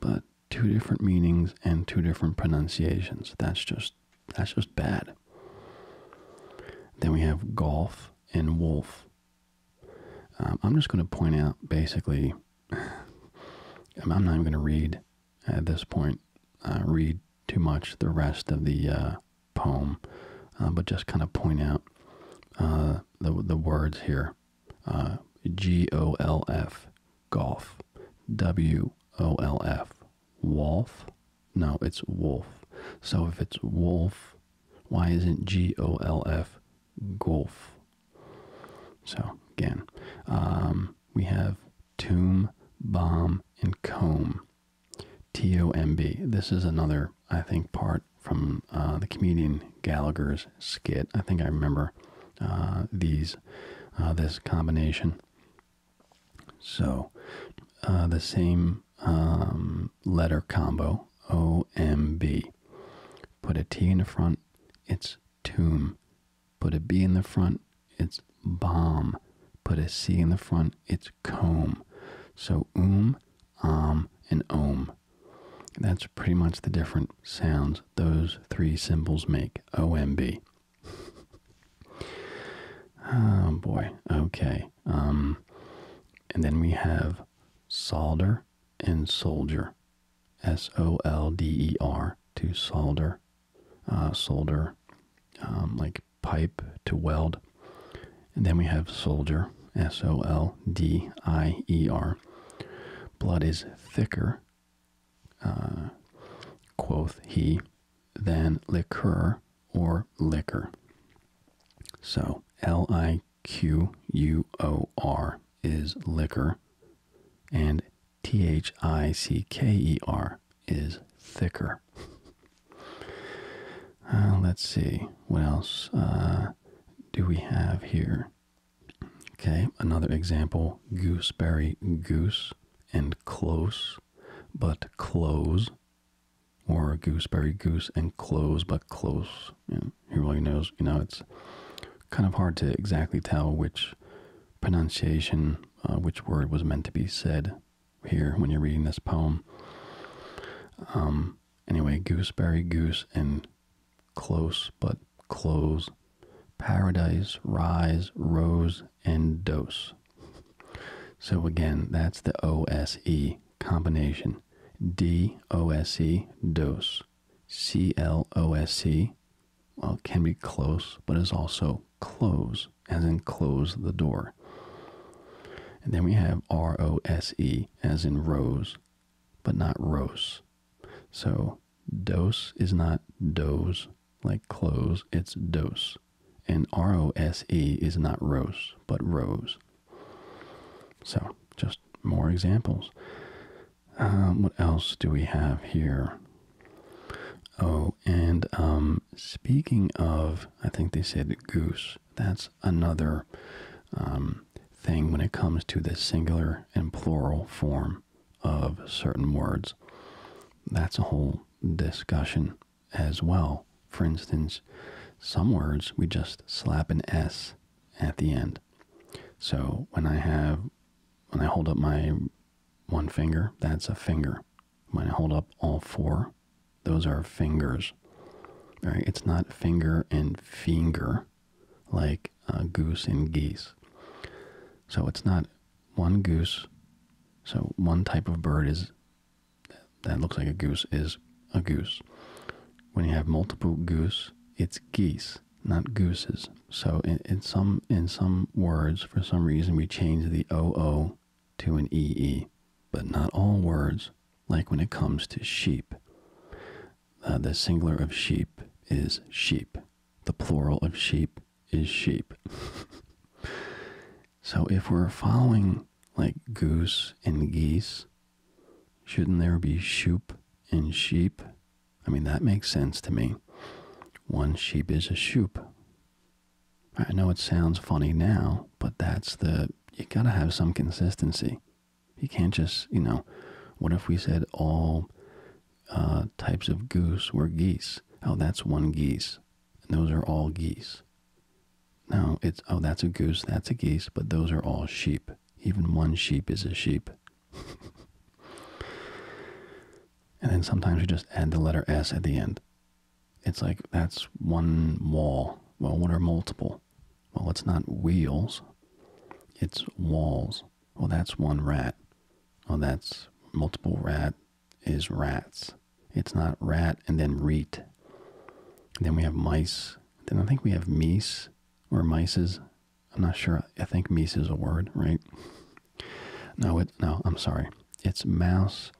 but two different meanings and two different pronunciations. That's just that's just bad. Then we have golf and wolf. Um, I'm just going to point out basically, I'm not even going to read at this point, uh, read too much the rest of the uh, poem, uh, but just kind of point out uh, the, the words here. G O L F, golf. W O L F, wolf. No, it's wolf. So if it's wolf, why isn't G O L F Golf. So again, um, we have tomb, bomb, and comb. T-O-M-B. This is another, I think, part from uh, the comedian Gallagher's skit. I think I remember uh, these, uh, this combination. So, the same um, letter combo, O M B. Put a T in the front, it's tomb. Put a B in the front, it's bomb. Put a C in the front, it's comb. So oom, om, and ohm. That's pretty much the different sounds those three symbols make. OMB. oh boy. Okay. Um, and then we have solder and soldier. S O L D E R to solder, uh, solder, um, like pipe to weld. And then we have soldier, S O L D I E R. Blood is thicker, uh, quoth he, than liqueur or liquor. So L I Q U O R is liquor, and T H I C K E R is thicker. Uh, let's see what else uh, do we have here. Okay, another example: gooseberry, goose, and close, but close, or gooseberry, goose, and close, but close who really knows? You know, it's kind of hard to exactly tell which pronunciation, uh, which word was meant to be said here when you're reading this poem. Um, anyway, gooseberry, goose, and close, but close, paradise, rise, rose, and dose. So again, that's the O S E combination. D O S E, dose. C L O S E well, can be close, but is also close, as in close the door. And then we have R O S E, as in rose, but not rose. So dose is not doze, like close, it's dose. And R O S E is not rose, but rose. So just more examples. Um, what else do we have here? Oh, and um, speaking of, I think they said goose. That's another um, thing when it comes to the singular and plural form of certain words. That's a whole discussion as well. For instance, some words we just slap an S at the end. So when I have, when I hold up my one finger, that's a finger. When I hold up all four, those are fingers. Right? It's not finger and finger like goose and geese. So it's not one goose. So one type of bird is that looks like a goose is a goose. When you have multiple goose, it's geese not gooses. So in, some in some words, for some reason, we change the o o to an ee, but not all words. Like when it comes to sheep, uh, the singular of sheep is sheep. The plural of sheep is sheep. so if we're following like goose and geese Shouldn't there be sheep and sheep? I mean, that makes sense to me. One sheep is a sheep. I know it sounds funny now, but that's the. You gotta have some consistency. You can't just, you know, what if we said all uh, types of goose were geese? Oh, that's one geese. And those are all geese. Now it's, oh, that's a goose, that's a geese, but those are all sheep. Even one sheep is a sheep. and then sometimes you just add the letter S at the end. It's like that's one wall. Well, what are multiple? Well, it's not wheels, it's walls. Well, that's one rat. Well, that's multiple rat is rats. It's not rat and then reet. Then we have mice. Then I think we have meese or mices. I'm not sure. I think "mice" is a word, right? No, it no, I'm sorry. It's mouse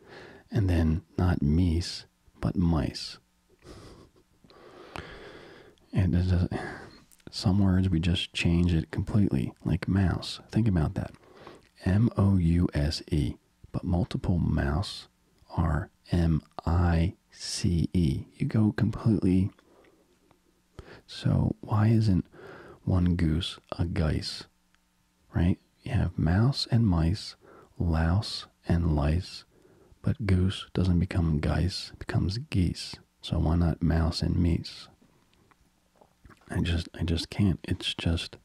and then not "mice" but mice. And some words we just change it completely, like mouse. Think about that. M O U S E. But multiple mouse are M I C E. You go completely so why isn't one goose a geese? Right? You have mouse and mice, louse and lice, but goose doesn't become geese, it becomes geese. So why not mouse and mice? I just I just can't. It's just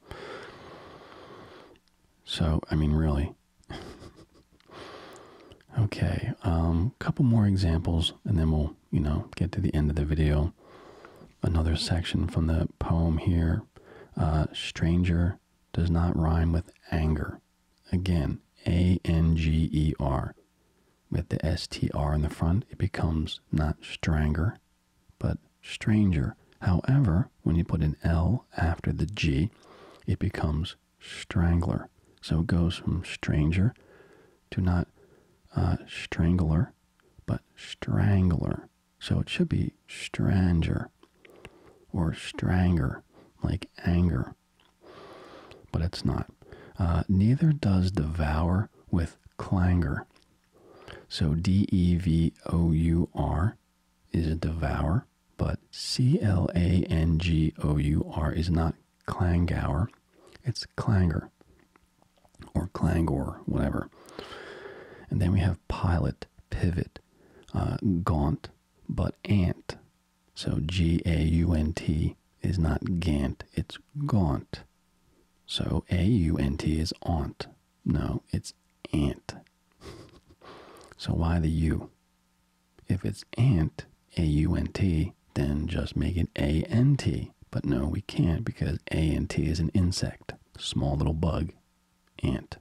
so I mean really Okay, um, couple more examples, and then we'll, you know, get to the end of the video. Another section from the poem here. Uh, stranger does not rhyme with anger. Again, A N G E R. With the S T R in the front, it becomes not stranger, but stranger. However, when you put an L after the G, it becomes strangler. So it goes from stranger to not uh, strangler, but strangler. So it should be stranger or stranger, like anger. But it's not. Uh, neither does devour with clangor. So D E V O U R is a devour, but C L A N G O U R is not Klangauer. It's Klanger or Klangor, whatever. And then we have pilot, pivot, uh, gaunt, but aunt. So G A U N T is not gant, it's gaunt. So A U N T is aunt. No, it's aunt. So why the U? If it's ant, A-U-N-T, then just make it A-N-T. But no, we can't because A-N-T is an insect, small little bug, ant.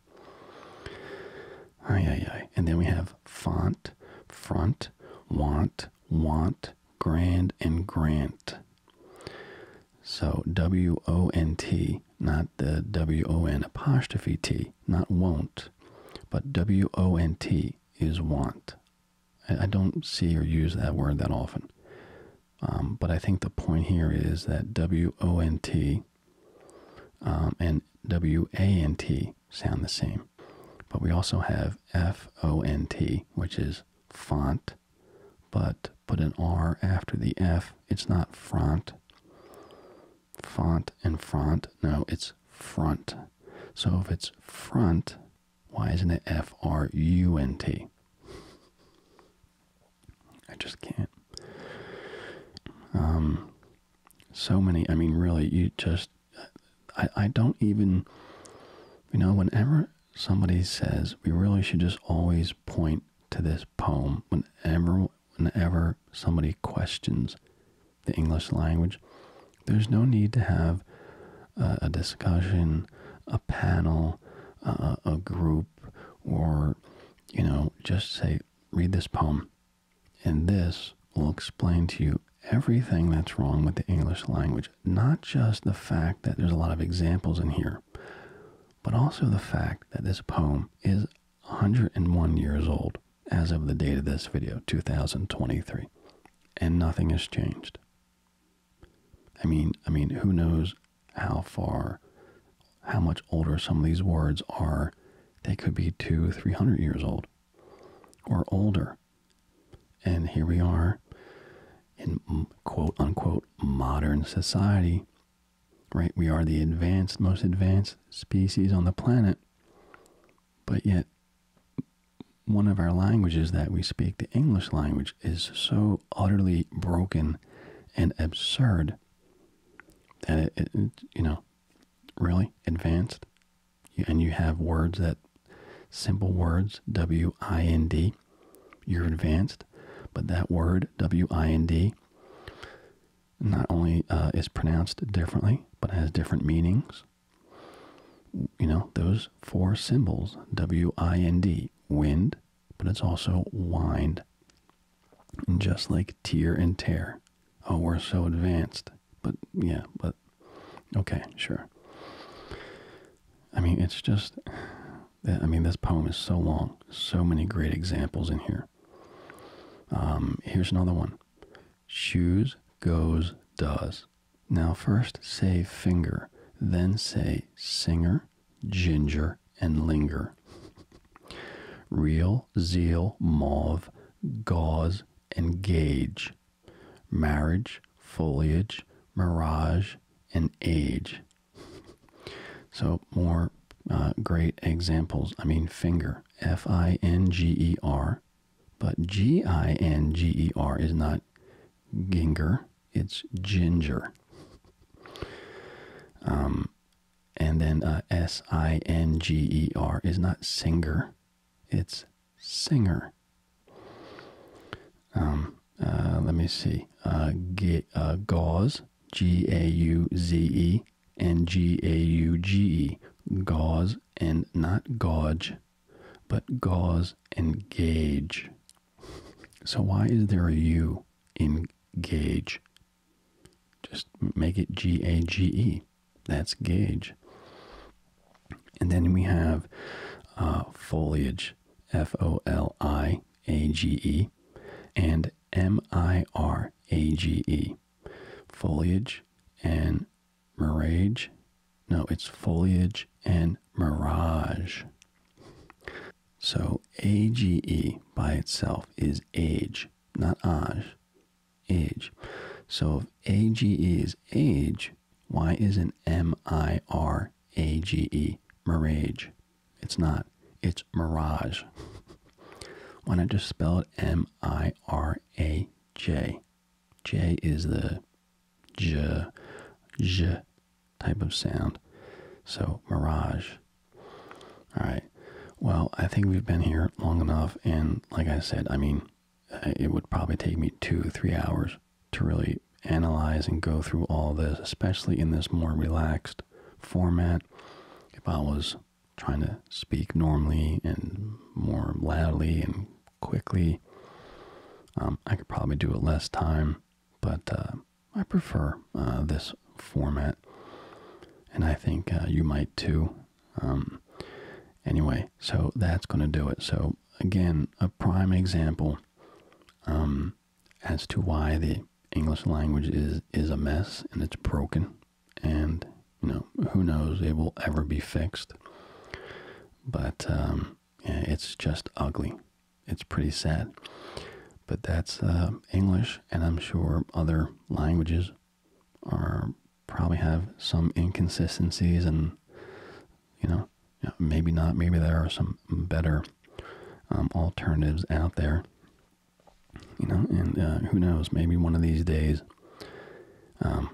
Ay, ay, ay. And then we have font, front, want, want, grand, and grant. So W O N T, not the W O N apostrophe T, not won't, but W O N T is want. I, don't see or use that word that often. Um, but I think the point here is that W O N T um, and "w-a-n-t" sound the same. But we also have F O N T, which is font, but put an R after the F. It's not front. Font and front. No, it's front. So if it's front, why isn't it F R U N T? I just can't. Um, so many. I mean, really, you just. I, I don't even. You know, whenever somebody says we really should just always point to this poem, whenever whenever somebody questions the English language, there's no need to have a discussion, a panel, a group, or, you know, just say, read this poem. And this will explain to you everything that's wrong with the English language, not just the fact that there's a lot of examples in here, but also the fact that this poem is 101 years old as of the date of this video, 2023, and nothing has changed. I mean, I mean, who knows how far, how much older some of these words are? They could be two, three hundred years old, or older. And here we are, in quote unquote modern society. Right, we are the advanced, most advanced species on the planet, but yet one of our languages that we speak, the English language, is so utterly broken and absurd that it, you know, really advanced. And you have words that, simple words, W I N D, you're advanced, but that word, W I N D, not only uh, is pronounced differently, but has different meanings you know, those four symbols W I N D, wind, but it's also wind. And just like tear and tear. Oh, we're so advanced. But yeah, but okay, sure. I mean, it's just, I mean, this poem is so long. So many great examples in here. Um, here's another one. Shoes goes does. Now first say finger, then say singer, ginger, and linger. Real, zeal, mauve, gauze, and gauge. Marriage, foliage, mirage, and age. So more uh, great examples. I mean, finger, F I N G E R, but G I N G E R is not ginger, it's ginger. Um, and then uh, S I N G E R is not singer, it's singer. Um, uh, let me see. Uh, gauze, G A U Z E, and G A U G E, gauze and not gauge but gauze engage. So why is there a U in gauge? Just make it G A G E. That's gauge. And then we have uh, foliage, F O L I A G E, and M I R A G E. Foliage and Mirage? No, it's foliage and mirage. So age by itself is age, not age. Age. So if age is age, why isn't M it A G E mirage? It's not. It's mirage. why not just spell it M I R A J? J is the j, j type of sound. So mirage. All right. Well, I think we've been here long enough. And like I said, I mean, uh, it would probably take me two, three hours to really analyze and go through all this, especially in this more relaxed format. If I was trying to speak normally and more loudly and quickly. Um, I could probably do it less time, but uh, I prefer uh, this format, and I think uh, you might too. Um, anyway, so that's going to do it. So again, a prime example um, as to why the English language is is a mess and it's broken, and you know who knows it will ever be fixed but um, it's just ugly. It's pretty sad. But that's um, English, and I'm sure other languages are probably have some inconsistencies, and you know, maybe not. Maybe there are some better um, alternatives out there. You know, and uh, who knows? Maybe one of these days,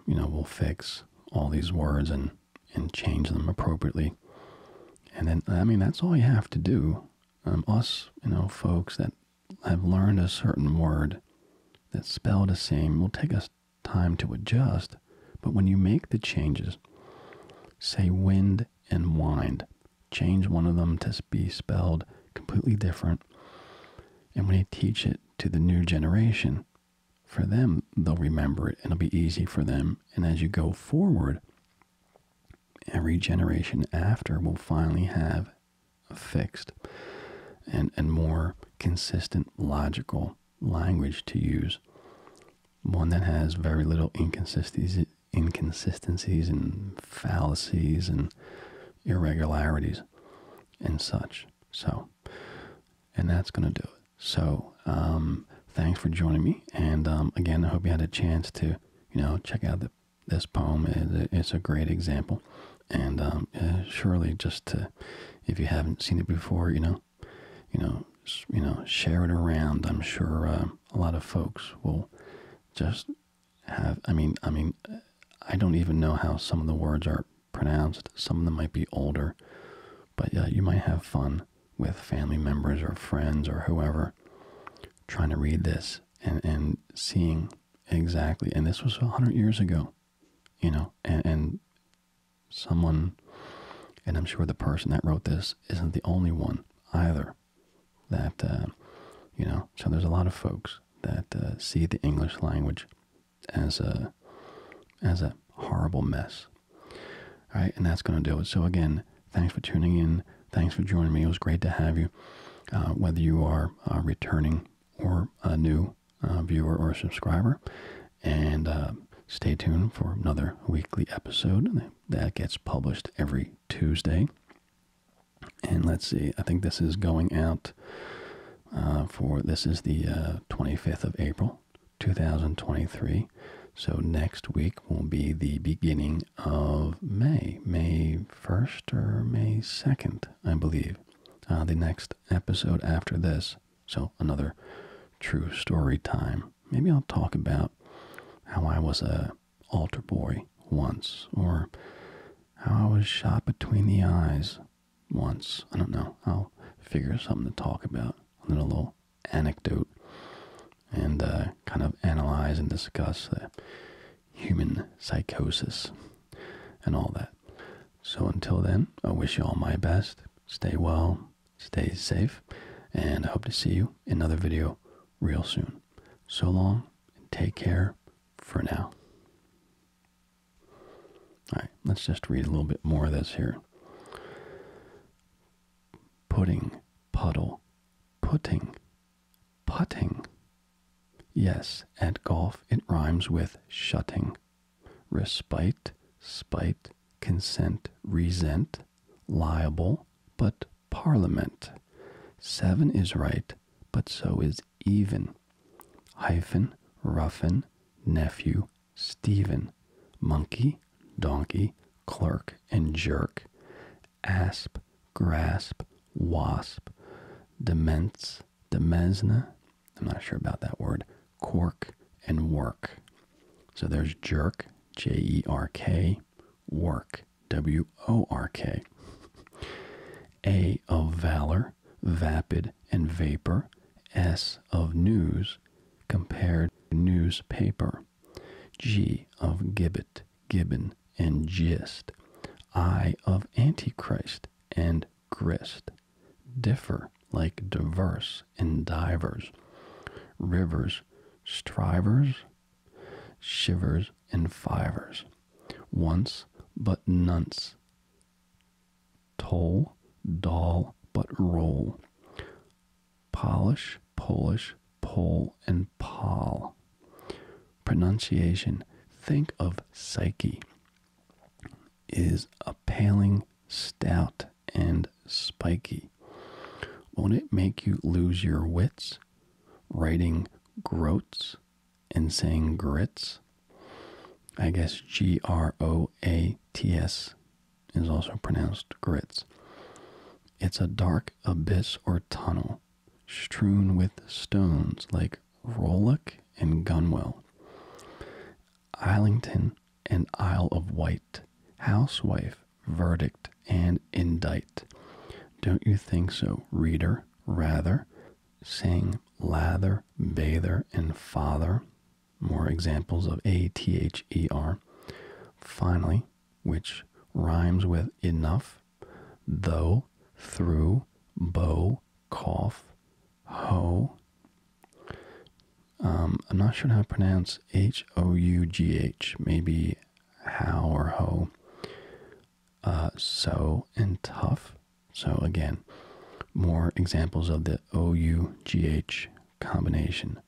you know, we'll fix all these words and and change them appropriately. And then I mean that's all you have to do. Um, us, you know, folks that have learned a certain word that spell the same will take us time to adjust. But when you make the changes, say wind and wind, change one of them to be spelled completely different. And when you teach it to the new generation, for them, they'll remember it and it'll be easy for them. And as you go forward, every generation after will finally have a fixed and, and more consistent logical language to use. One that has very little inconsistencies, inconsistencies and fallacies and irregularities and such. So, and that's going to do it. So, um, thanks for joining me. And um, again, I hope you had a chance to, you know, check out this poem. it's a great example. And um, uh, surely, just if you haven't seen it before, you know, you know, you know, share it around. I'm sure uh, a lot of folks will just have. I mean, I mean, I don't even know how some of the words are pronounced, some of them might be older, but yeah, you might have fun with family members or friends or whoever trying to read this and, and seeing exactly. And this was 100 years ago, you know, and, someone, and I'm sure the person that wrote this isn't the only one either that, uh, you know, so there's a lot of folks that uh, see the English language as a as a horrible mess. All right, and that's going to do it. So again, thanks for tuning in. Thanks for joining me. It was great to have you. Uh, whether you are uh, returning or a new uh, viewer or subscriber, and uh, stay tuned for another weekly episode that gets published every Tuesday. And let's see, I think this is going out for this is the 25th of April. 2023. So next week will be the beginning of May, May 1st or May 2nd, I believe. Uh, the next episode after this. So another true story time. Maybe I'll talk about how I was a altar boy once or how I was shot between the eyes once. I don't know. I'll figure something to talk about. A little anecdote and uh, kind of analyze and discuss the human psychosis and all that. So until then, I wish you all my best. Stay well, stay safe, and I hope to see you another video real soon. So long and take care for now. All right, let's just read a little bit more of this here. Pudding, puddle, putting, putting. Yes, at golf it rhymes with shutting. Respite, spite, consent, resent, liable, but parliament. Seven is right, but so is even. Hyphen, roughen, nephew, Stephen, monkey, donkey, clerk, and jerk, asp, grasp, wasp, demence, demesna I'm not sure about that word, cork, and work. So there's jerk, J E R K, work, W O R K. A of valor, vapid and vapor, S of news, compared newspaper, G of gibbet, gibbon, and gist, I of antichrist and grist, differ like diverse and divers, rivers, strivers, shivers and fivers, once but nonce, Toll, doll, but roll. Polish, Polish, Pole, and Pol. Pronunciation. Think of Psyche. Is a paling, stout, and spiky. Won't it make you lose your wits? Writing groats and saying grits? I guess G R O A T S is also pronounced grits. It's a dark abyss or tunnel strewn with stones like Rollock and Gunwell. Islington and Isle of Wight. Housewife, verdict, and indict. Don't you think so, reader? Rather, saying lather, bather, and father more examples of A-T-H-E-R. Finally, which rhymes with enough, though, through, bow, cough, ho. Um, I'm not sure how to pronounce H-O-U-G-H, maybe how or ho. Uh, so and tough. So again, more examples of the O-U-G-H combination.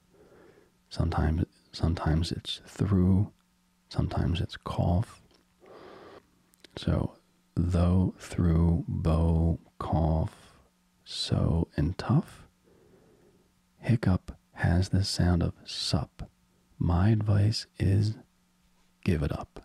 Sometimes, sometimes it's through, sometimes it's cough. So, though, through, bow, cough, so, and tough. Hiccup has the sound of sup. My advice is give it up.